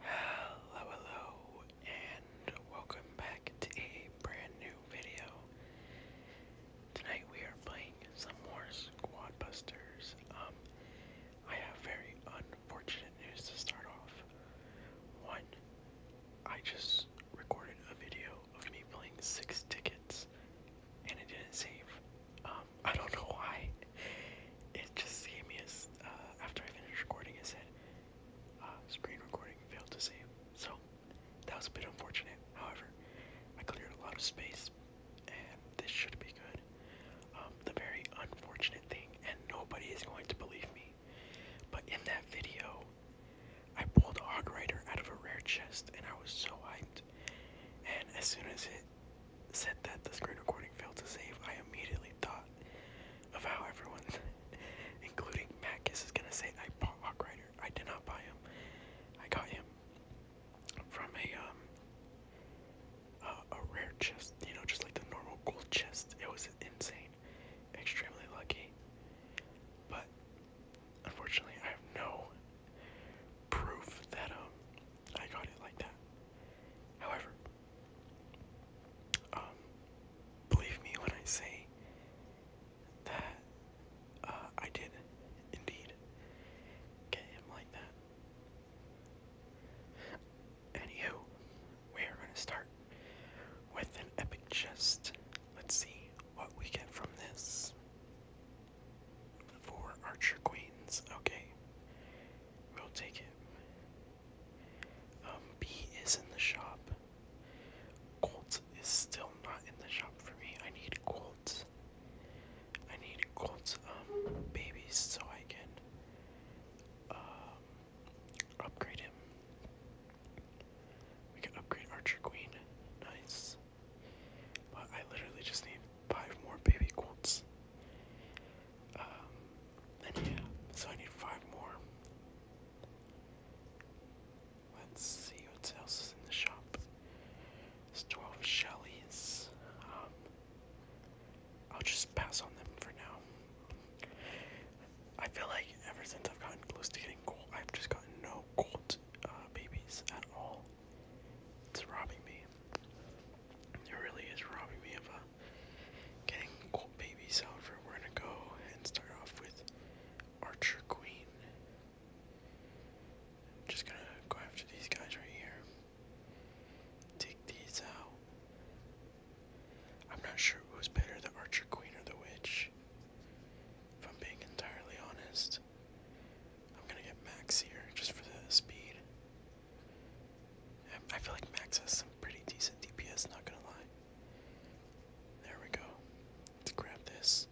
Hello, hello, and welcome back to a brand new video. Tonight we are playing some more Squad Um, I have very unfortunate news to start off. One, I just recorded a video of me playing six tickets and it didn't save. Um, I don't know why. It just gave me a, uh, after I finished recording, it said, uh, screen recording failed to save. So, that was a bit unfortunate. However, I cleared a lot of space, and this should be good. Um, the very unfortunate thing, and nobody is going to believe me, but in that video, I pulled a out of a rare chest, and I was so hyped. And as soon as it said that the screen recording failed to save, I immediately thought of how everyone, including Macus, is gonna say, I bought Hawk Rider. I did not buy him. I got him from a um a rare chest, you know, just like the normal gold chest. It was insane, extremely lucky. But unfortunately, I have no proof that um I got it like that. However, um, believe me when I say that uh, I did indeed get him like that. Anywho, we are going to start with an epic chest. Let's see what we get from this. Four Archer Queens. Okay. We'll take it. Um, B is in the shop. Colt is still not in the shop for me. I need Colt. I need Colt um, babies so I can um, upgrade him. We can upgrade Archer Queen. Nice. But I literally just need five more baby Colts. Um, yeah, so I need five more. Let's see what else is in the shop. There's 12 Shellys. Um, I'll just pass on them for now. I feel like ever since I've gotten close to getting cold, I've just gotten no cold, uh, babies at all. It's robbing me. It really is robbing me of a getting cool babies out for we're gonna go and start off with Archer Queen. I'm just gonna go after these guys right here. Take these out. I'm not sure who's better, the Archer Queen or the Witch. If I'm being entirely honest. I'm gonna get Max just for the speed. I feel like Max has some pretty decent DPS, not gonna lie. There we go. let grab this.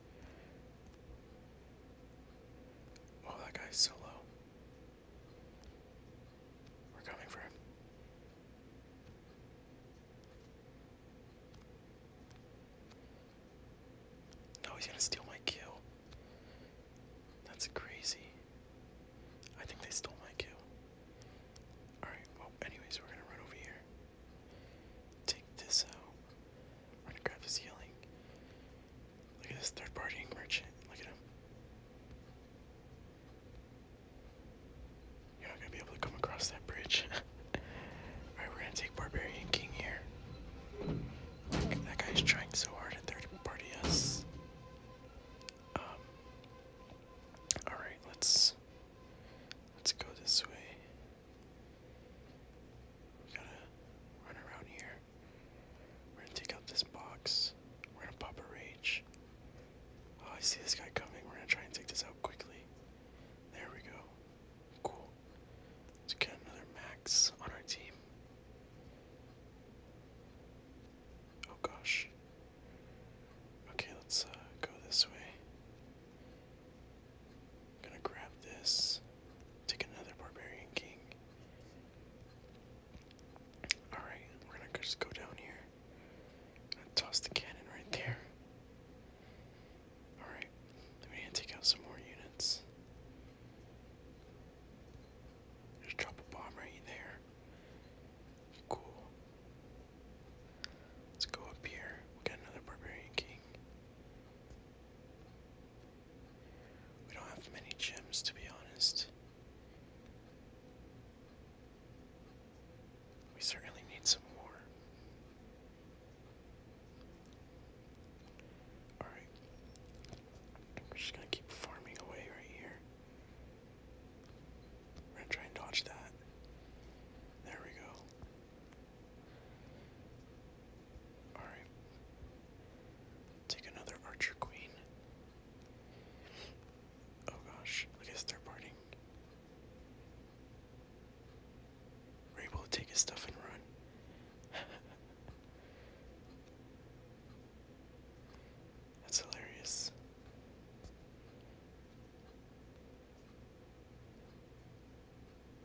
Oh, that guy's so low. We're coming for him. No, he's gonna steal my kill. That's crazy. I think they stole my kill. Alright, well, anyways, we're gonna run over here. Take this out. We're gonna grab this healing. Look at this third party merchant. Look at him. You're not to be able to come across that bridge. Alright, we're gonna take Barbarian King here. Look, that guy's trying so hard at third Bardias. Um, all right, let's let's go this way. We gotta run around here. We're gonna take out this box. We're gonna pop a rage. Oh, I see this guy coming. We're gonna try and take this out quickly. There we go. Cool. Let's another max on our team. Oh gosh. Okay, let's uh, go this way. gonna grab this. Take another Barbarian King. Alright, we're gonna just go down here. gonna toss the cannon right there. Alright, then we take out some more units. Just drop a bomb right there. Cool. Let's go up here. We got another Barbarian King. We don't have many gems, to be honest. We certainly need some more. Alright. We're just gonna keep farming away right here. We're gonna try and dodge that. There we go. Alright. Take another archer queen. Oh gosh, look at us third parting. We're able to take his stuff and run. That's hilarious.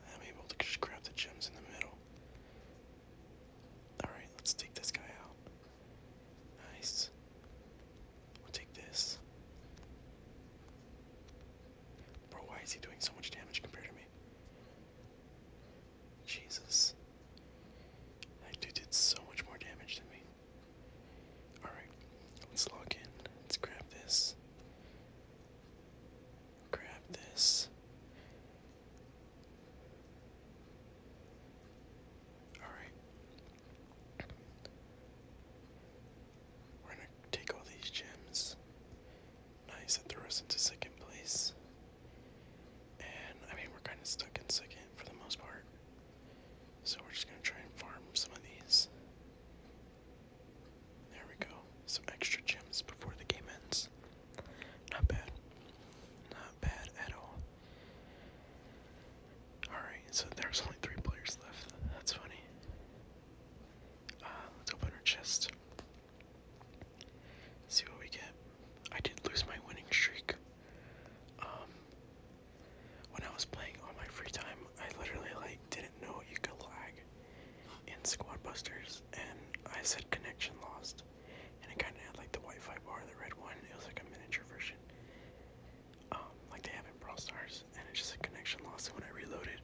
I'm able to just grab the gems in the middle. Alright, let's take this guy out. Nice. We'll take this. Bro, why is he doing so much damage compared to me? Jesus. That dude did so much more damage than me. Alright, let's log in. Let's grab this. Grab this. Alright. We're gonna take all these gems. Nice, that throws us into second place. And I mean, we're kind of stuck in second for the most part. So we're just going to try and farm some of these. There we go. Some extra gems before the game ends. Not bad. Not bad at all. Alright, so there's only three players left. That's funny. Uh, let's open our chest. Let's see what we get. I did lose my winning streak. Um, when I was playing on my free time, I literally like didn't know you could lag in Squad Busters, and I said connection lost, and it kind of had like the Wi-Fi bar, the red one. It was like a miniature version, um, like they have in Brawl and it just said connection lost. And when I reloaded,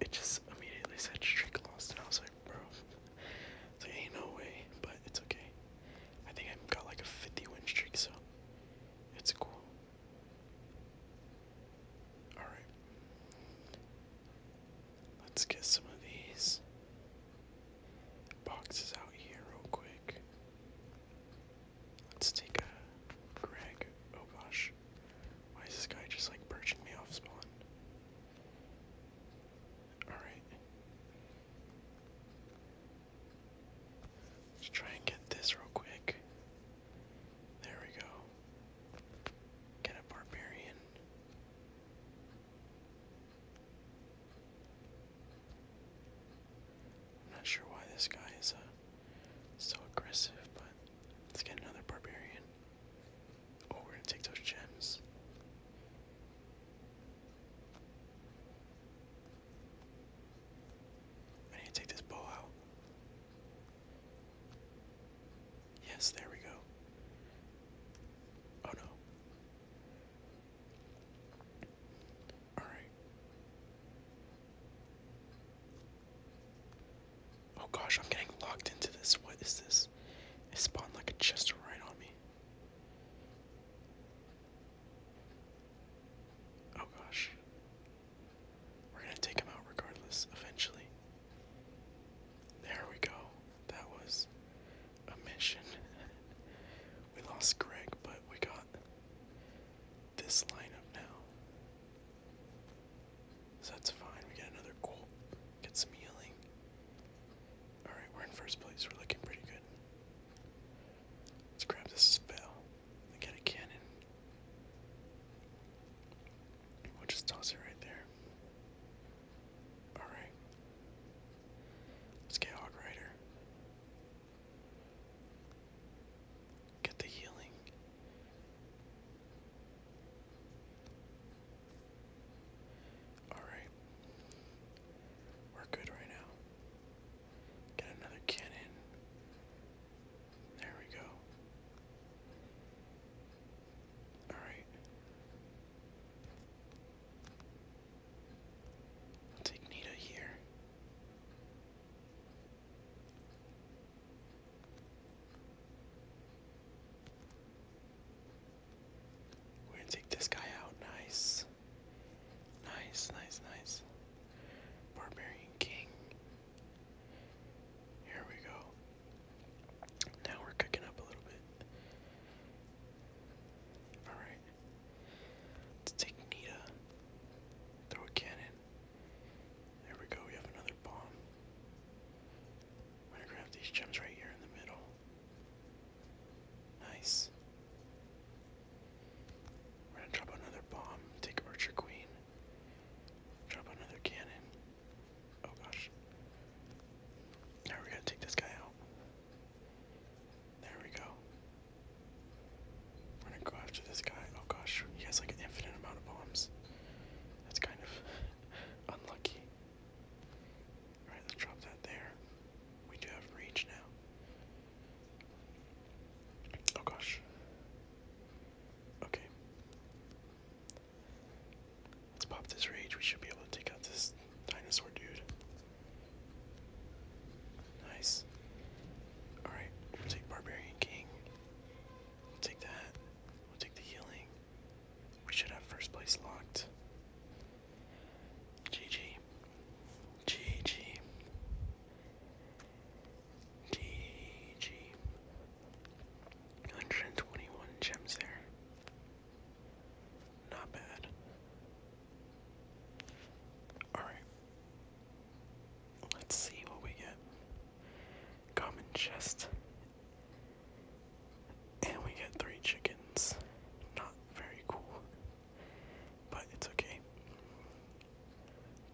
it just immediately said streak lost, and I was like bro. It's like, ain't no way, but it's okay. I think I've got like a 50 win streak, so it's cool. Alright. Let's get some of these boxes out here real quick. Let's take a Greg. Oh gosh. Why is this guy just like perching me off spawn? All right. Let's try and get this real quick. There we go. Get a barbarian. I'm not sure why this guy is uh, so aggressive, but let's get another barbarian. Oh, we're gonna take those gems. I need to take this bow out. Yes, there we go. Oh no. All right. Oh gosh, I'm getting locked into this. What is this? this. spawned like a chest right on me. Oh gosh. We're gonna take him out regardless, eventually. There we go. That was a mission. we lost Greg, but we got this lineup now. So that's fine. We got another goal. Get some healing. Alright, we're in first place. We're looking pretty good. Let's grab this spell. I a cannon. We'll just toss it right there. Alright. Let's get Hog Rider. Get the healing. Alright. We're good right now. Get another cannon. There we go. Alright. take Nita here. We're gonna take this guy out. Nice. Nice, nice, nice. Barbarian King. Here we go. Now we're cooking up a little bit. Alright. Let's take Nita. Throw a cannon. There we go, we have another bomb. I'm gonna grab these gems right here in the middle. Nice. We're gonna drop another bomb, take Archer Queen, drop another cannon. Oh gosh. Now we're to take this guy out. There we go. We're gonna go after this guy. Oh gosh, he has like an infinite amount of bombs. That's kind of unlucky. Alright, let's drop that there. We do have reach now. Oh gosh. Okay. Let's pop this rage. We should be able to take out this dinosaur dude. Nice. Alright, we'll take Barbarian King. We'll take that. We'll take the healing. We should have first place locked. GG. GG. GG. 121 gems there. Not bad. Alright. Let's see what we get. Common chest and we get three chickens. Not very cool, but it's okay.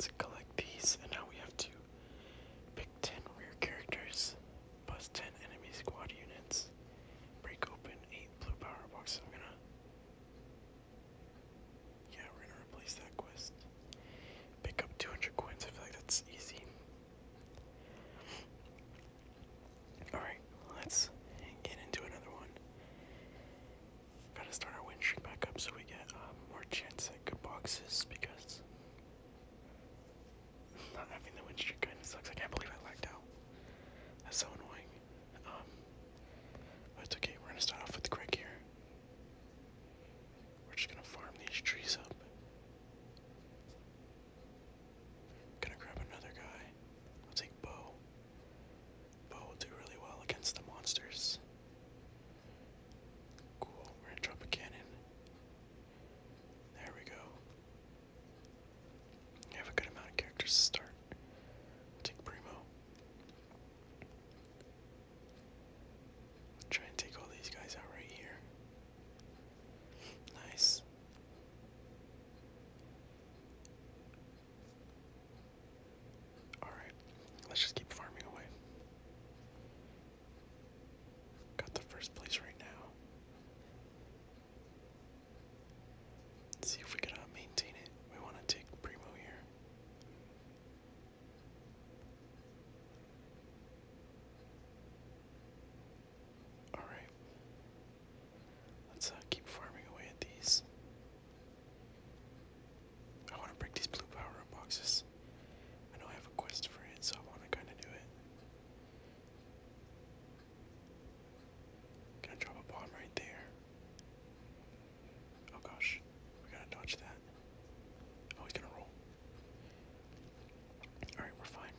let collect these, and now we have to pick 10 rare characters, plus 10 enemy squad units, break open 8 blue power boxes. I'm gonna. Yeah, we're gonna replace that quest. Pick up 200 coins, I feel like that's easy. Alright, let's get into another one. Gotta start our win back up so we get uh, more chance at good boxes because not having the win kind of sucks. I can't believe I lagged out. That's so annoying. Um, but it's okay. We're gonna start off with Greg here. We're just gonna farm these trees up. Gonna grab another guy. I'll take Bo. Bo will do really well against the monsters. Cool, we're gonna drop a cannon. There we go. We have a good amount of characters to start. take Primo. try and take all these guys out right here. Nice. Alright, let's just keep farming away. Got the first place right now. see if we can uh, maintain it. We want to take Primo here. All right. Let's uh, keep farming away at these. I want to break these blue power up boxes. I know I have a quest for it, so I want to kind of do it. Gonna drop a bomb right there. Oh gosh, we gotta dodge that. Oh, he's gonna roll. Alright, we're fine.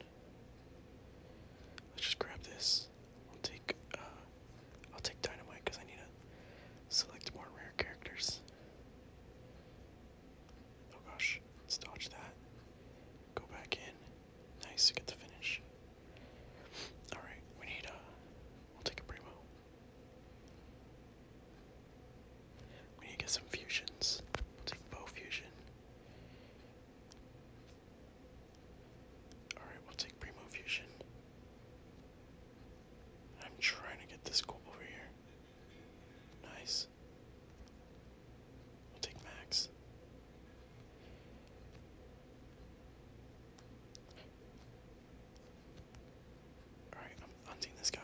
Let's just grab this. I'll take uh, I'll take dynamite because I need to select more rare characters. Oh gosh, let's dodge that. Go back in. Nice to get the finish. Alright, we need uh we'll take a primo. We need to get some fusions. We'll take bow fusion. Alright, we'll take primo fusion. I'm trying to get this goal over here. Nice. We'll take max. Alright, I'm hunting this guy.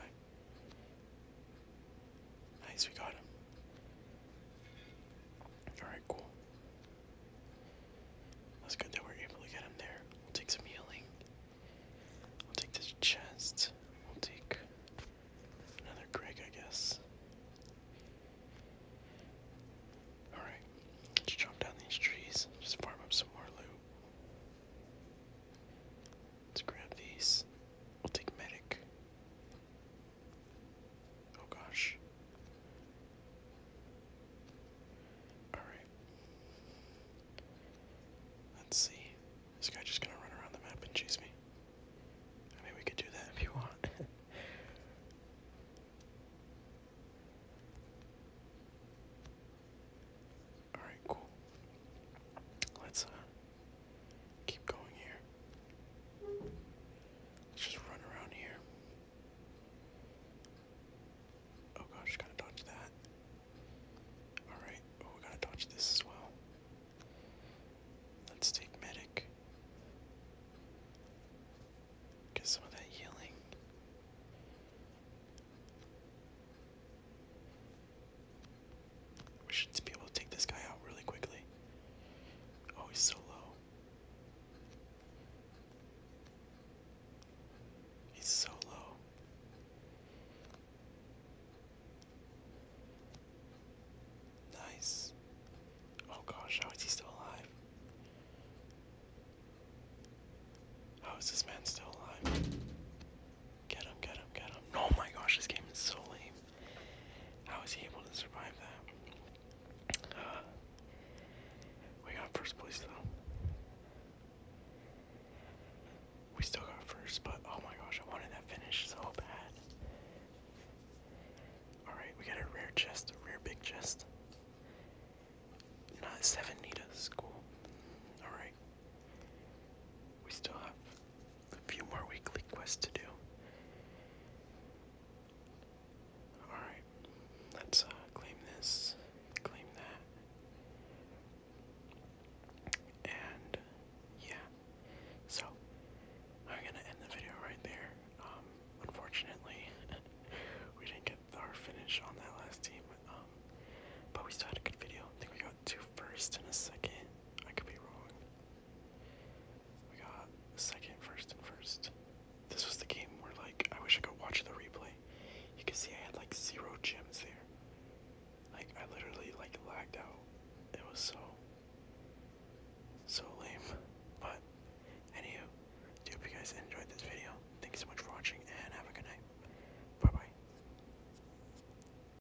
Nice, we got him. Alright, cool. That's good that we're able to get him there. We'll take some healing. We'll take this chest. We'll take another Greg, I guess. Alright, let's jump down these trees. Just farm up some more loot. Let's grab these. We'll take medic. Oh gosh. Alright. Let's see. This guy just gonna run around the map and chase me. I mean, we could do that if you want. Alright, cool. Let's, uh, Keep going here. Let's just run around here. Oh gosh, gotta dodge that. Alright, oh, we gotta dodge this as well. Let's take medic. Get some of that healing. We should be able to take this guy out really quickly. Oh, he's so low. He's so low. Nice. Oh gosh, how is he still alive? How is this man still alive? Get him, get him, get him. Oh my gosh, this game is so lame. How is he able to survive that? we got first place though. We still got first, but oh my gosh, I wanted that finish so bad. Alright, we got a rare chest, a rare big chest. Not seven Nita, cool. Alright. We still have a few more weekly quests to do. Alright, let's uh, claim this, claim that. And yeah, so I'm gonna end the video right there. Um, unfortunately, we didn't get our finish on that last team, um, but we still had a good video. I think we got got two first and a second. I could be wrong. We got second, first, and first. This was the game where, like, I wish I could watch the replay. You can see I had, like, zero gems there. Like, I literally, like, lagged out. It was so, so lame. But, anywho, do hope you guys enjoyed this video. Thank you so much for watching, and have a good night. Bye-bye.